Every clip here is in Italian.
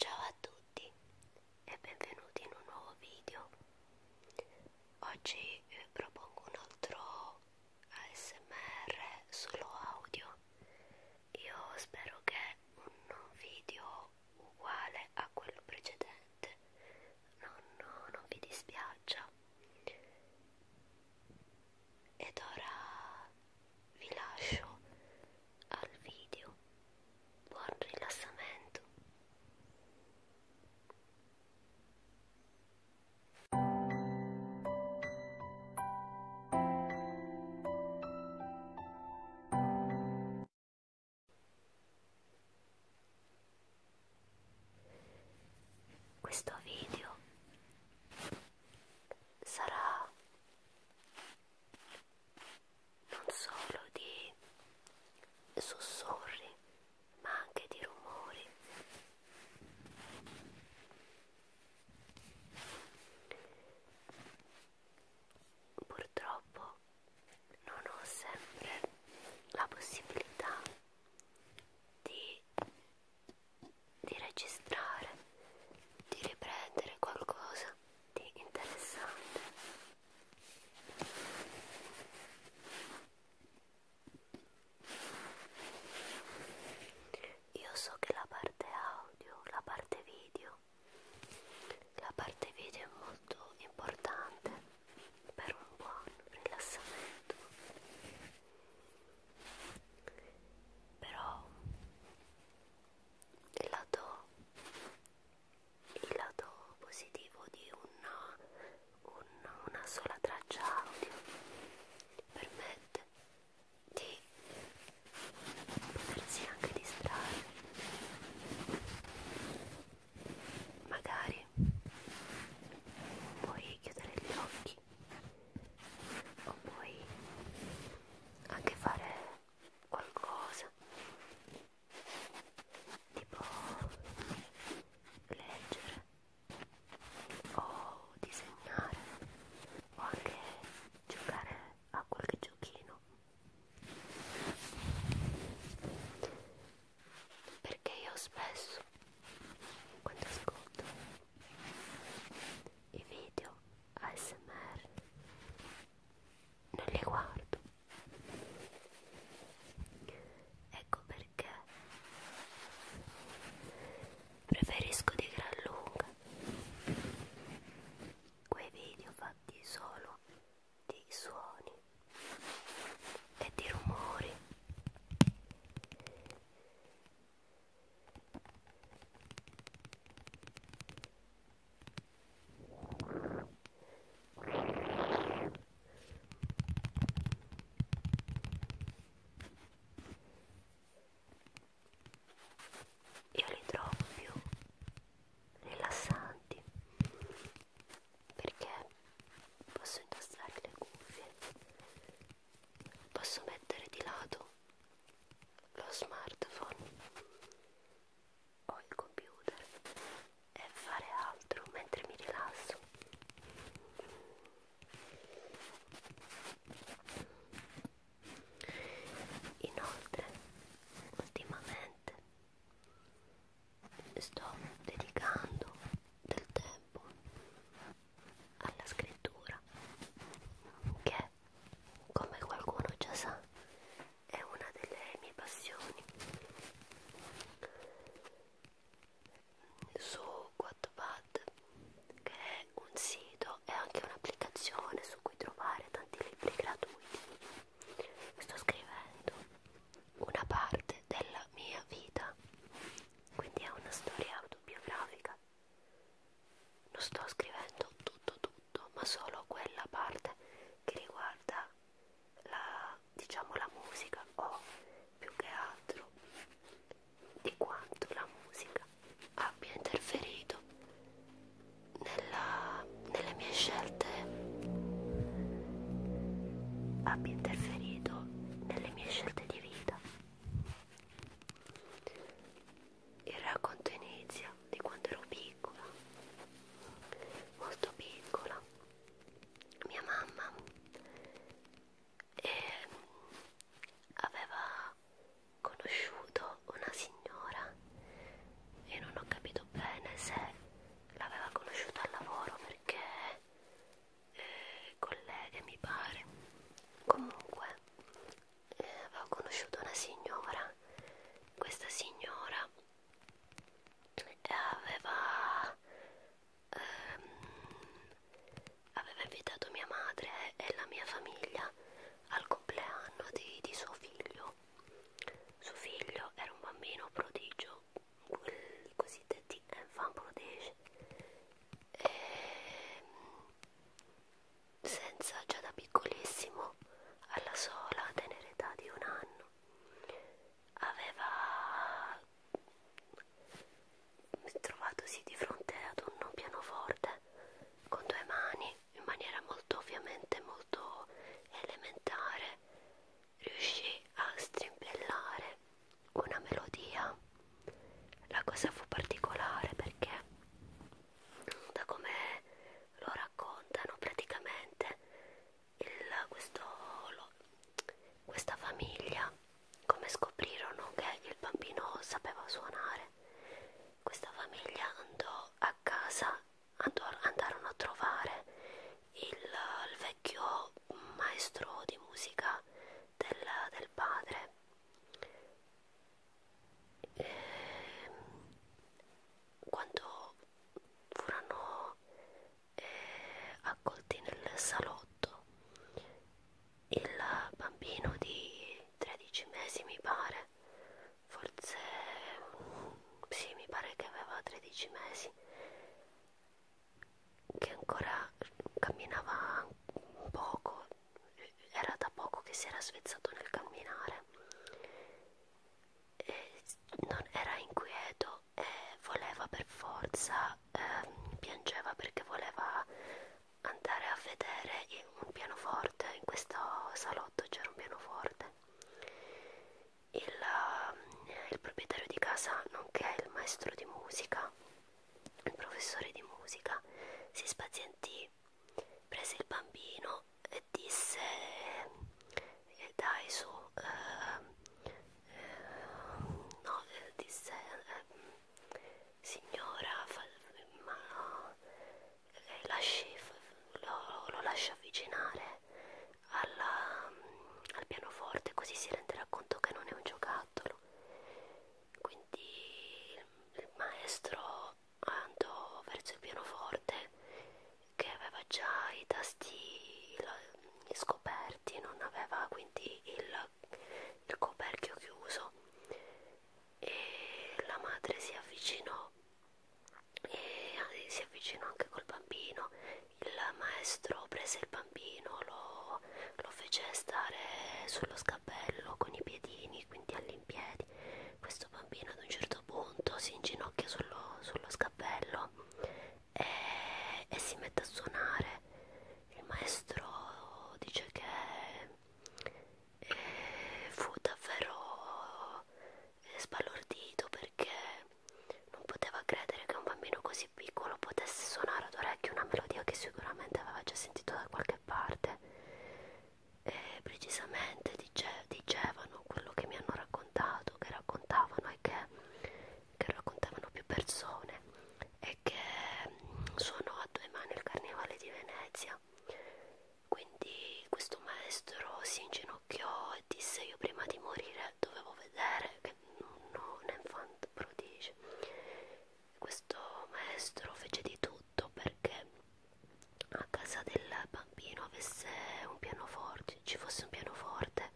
Ciao a tutti e benvenuti in un nuovo video. Oggi vi eh, propongo un altro ASMR solo audio. Io spero che un video uguale a quello precedente non, non vi dispiaccia ed ora vi lascio al video buon rilassamento questo video sarà non solo di sussurri ma anche di rumori purtroppo non ho sempre la possibilità di di registrare, di riprendere qualcosa di interessante. Io so che la parte audio, la parte video, la parte video è molto importante per un buon rilassamento però il lato, il lato positivo di una, una, una sola traccia audio permette di potersi anche distrarre magari puoi chiudere gli occhi o puoi anche fare qualcosa tipo leggere o disegnare o anche giocare a qualche giochino perché io spesso quando ascolto i video ASMR non li guardo ecco perché preferisco di gran lunga quei video fatti solo di suoni e di rumori io li trovo più rilassanti perché posso indossare le cuffie posso mettere di lato lo smartphone o il computer e fare altro mentre mi rilasso inoltre ultimamente sto dedicando del tempo alla scrittura che come qualcuno già sa è una delle mie passioni su Wattpad che è un sito e anche un'applicazione su cui trovare tanti libri gratuiti sto scrivendo una parte della mia vita quindi è una storia autobiografica. Non sto scrivendo tutto tutto, ma solo quella parte che riguarda la, diciamo, la musica o più che altro di quanto la musica abbia interferito nella, nelle mie scelte abbia interferito nelle mie scelte corte di vita. Il racconto inizia di quando ero piccola, molto piccola. Mia mamma e eh, aveva conosciuto una signora e non ho capito bene se l'aveva conosciuta al lavoro perché eh, colleghe mi pare comunque eh, avevo conosciuto una signora questa signora eh, aveva ehm, aveva invitato mia madre e la mia famiglia al compleanno di, di suo figlio suo figlio era un bambino prodigio i cosiddetti enfant protege ehm, senza già da piccolissimo alla sola tenera età di un anno aveva trovatosi di fronte ad un pianoforte con due mani in maniera molto ovviamente molto elementare riuscì a strimpellare una melodia. La cosa fu particolare perché, da come lo raccontano, praticamente il, questo, lo, questa famiglia, come scoprirono che il bambino sapeva suonare, questa famiglia andò a casa, andò, andarono a trovare il, il vecchio un maestro di musica del, del padre e ehm, quando furono eh, accolti nel salotto il bambino di 13 mesi mi pare forse sì mi pare che aveva 13 mesi che ancora camminava un poco, era da poco che si era svezzato nel camminare, e non era inquieto e voleva per forza, ehm, piangeva perché voleva andare a vedere un pianoforte, in questo salotto c'era un pianoforte il, ehm, il proprietario di casa, nonché il maestro di musica, il professore di musica, si spazientì, prese il bambino e disse eh, dai su, eh, eh, no, eh, disse eh, signora, fa, ma no, eh, lasci, lo, lo lascia avvicinare alla, al pianoforte così si renderà conto che non è un giocattolo quindi il maestro andò verso il pianoforte che aveva già i tasti scoperti non aveva quindi il, il coperchio chiuso e la madre si avvicinò e eh, si avvicinò anche col bambino. Il maestro prese il bambino, lo, lo fece stare sullo scappello con i piedini, quindi all'impiedi. Questo bambino ad un certo punto si inginocchia sullo, sullo scappello e, e si mette a suonare. Il maestro dice che eh, fu davvero sbalordito perché non poteva credere che un bambino così piccolo potesse suonare ad orecchio una melodia che sicuramente aveva già sentito da qualche parte e precisamente dice, dicevano quello che mi hanno raccontato che raccontavano e che, che raccontavano più persone e che mm, suonò a due mani il carnevale di Venezia quindi questo maestro si inginocchiò e disse io prima di morire dovevo vedere che non è infant prodigio. Questo maestro fece di tutto perché a casa del bambino avesse un pianoforte, ci fosse un pianoforte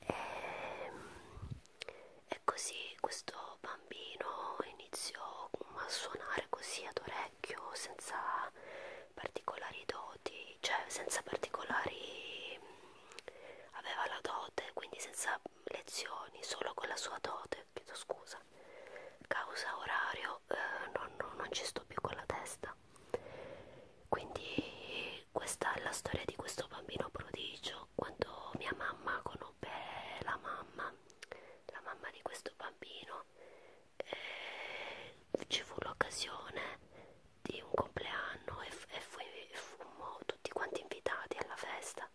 e, ehm, e così questo bambino iniziò a suonare così ad orecchie vecchio senza particolari doti, cioè senza particolari mm, aveva la dote, quindi senza lezioni, solo con la sua dote, chiedo scusa. Causa orario, eh, non, non, non ci sto più con la testa. Quindi questa è la storia di questo bambino prodigio. Quando mia mamma conobbe la mamma, la mamma di questo bambino eh, ci fu l'occasione di un compleanno e, e, fu, e fummo tutti quanti invitati alla festa.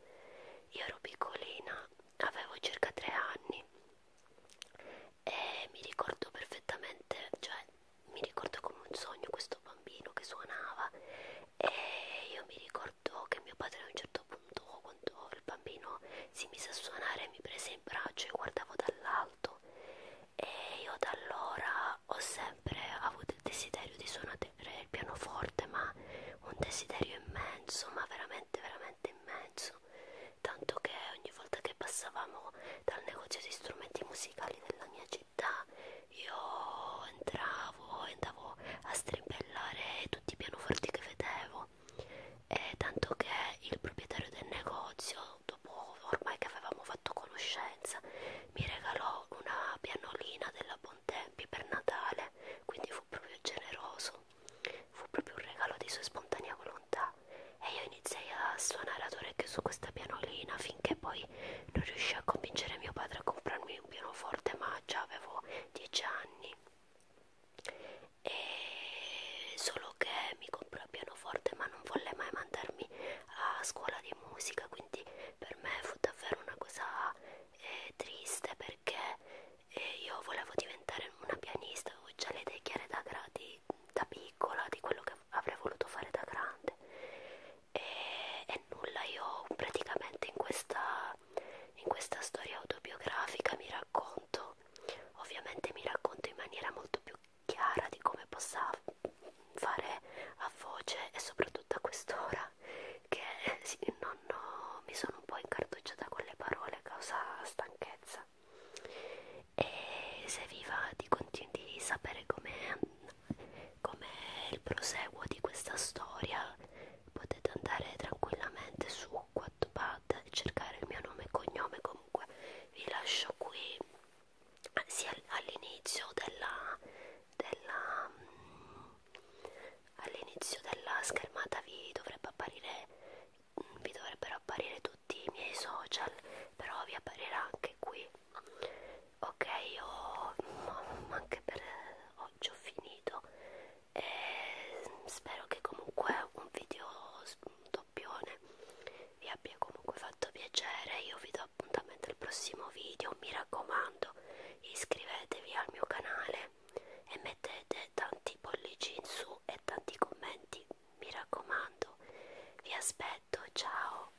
Io ero piccolina, avevo circa tre anni e mi ricordo perfettamente, cioè mi ricordo come un sogno questo bambino che suonava e io mi ricordo che mio padre a un certo punto, quando quando il bambino si mise a suonare mi prese in braccio e guardavo dall'alto e io da allora ho sempre avuto il desiderio di suonare il pianoforte ma un desiderio immenso ma veramente veramente immenso tanto che ogni volta che passavamo dal negozio di strumenti musicali della mia città io entravo e andavo a strimpellare tutti i pianoforti che vedevo e eh, tanto che il proprietario del negozio dopo ormai che avevamo fatto conoscenza mi regalò una pianolina della Bontempi per Natale quindi fu proprio generoso fu proprio un regalo di sua spontanea volontà e io iniziai a suonare ad orecchio su questa pianolina finché poi non riuscii a convincere mio padre a comprarmi un pianoforte ma già avevo 10 anni e solo che mi comprò il pianoforte ma non volle mai mandarmi a scuola di musica quindi per me fu davvero una cosa eh, triste perché eh, io volevo diventare una pianista avevo già le idee chiare da, gradi, da piccola di quello che avrei voluto fare da grande e, e nulla io praticamente in questa, in questa storia autobiografica mi racconto no. Ovviamente mi racconto in maniera molto più chiara di come possa fare a voce e soprattutto a quest'ora che eh, sì, non ho, mi sono un po' incartocciata con le parole a causa stanchezza e se vi va di, di sapere com'è com il proseguo di questa storia potete andare tranquillamente su qua Wattpad e cercare il mio nome e cognome comunque vi lascio qui sia all'inizio della, della mm, all'inizio della schermata vi dovrebbe apparire mm, vi dovrebbero apparire tutti i miei social però vi apparirà anche qui ok io mm, anche per oggi ho finito e spero che comunque un video un doppione vi abbia comunque fatto piacere io vi do appuntamento al prossimo video mi raccomando iscrivetevi al mio canale e mettete tanti pollici in su e tanti commenti mi raccomando vi aspetto ciao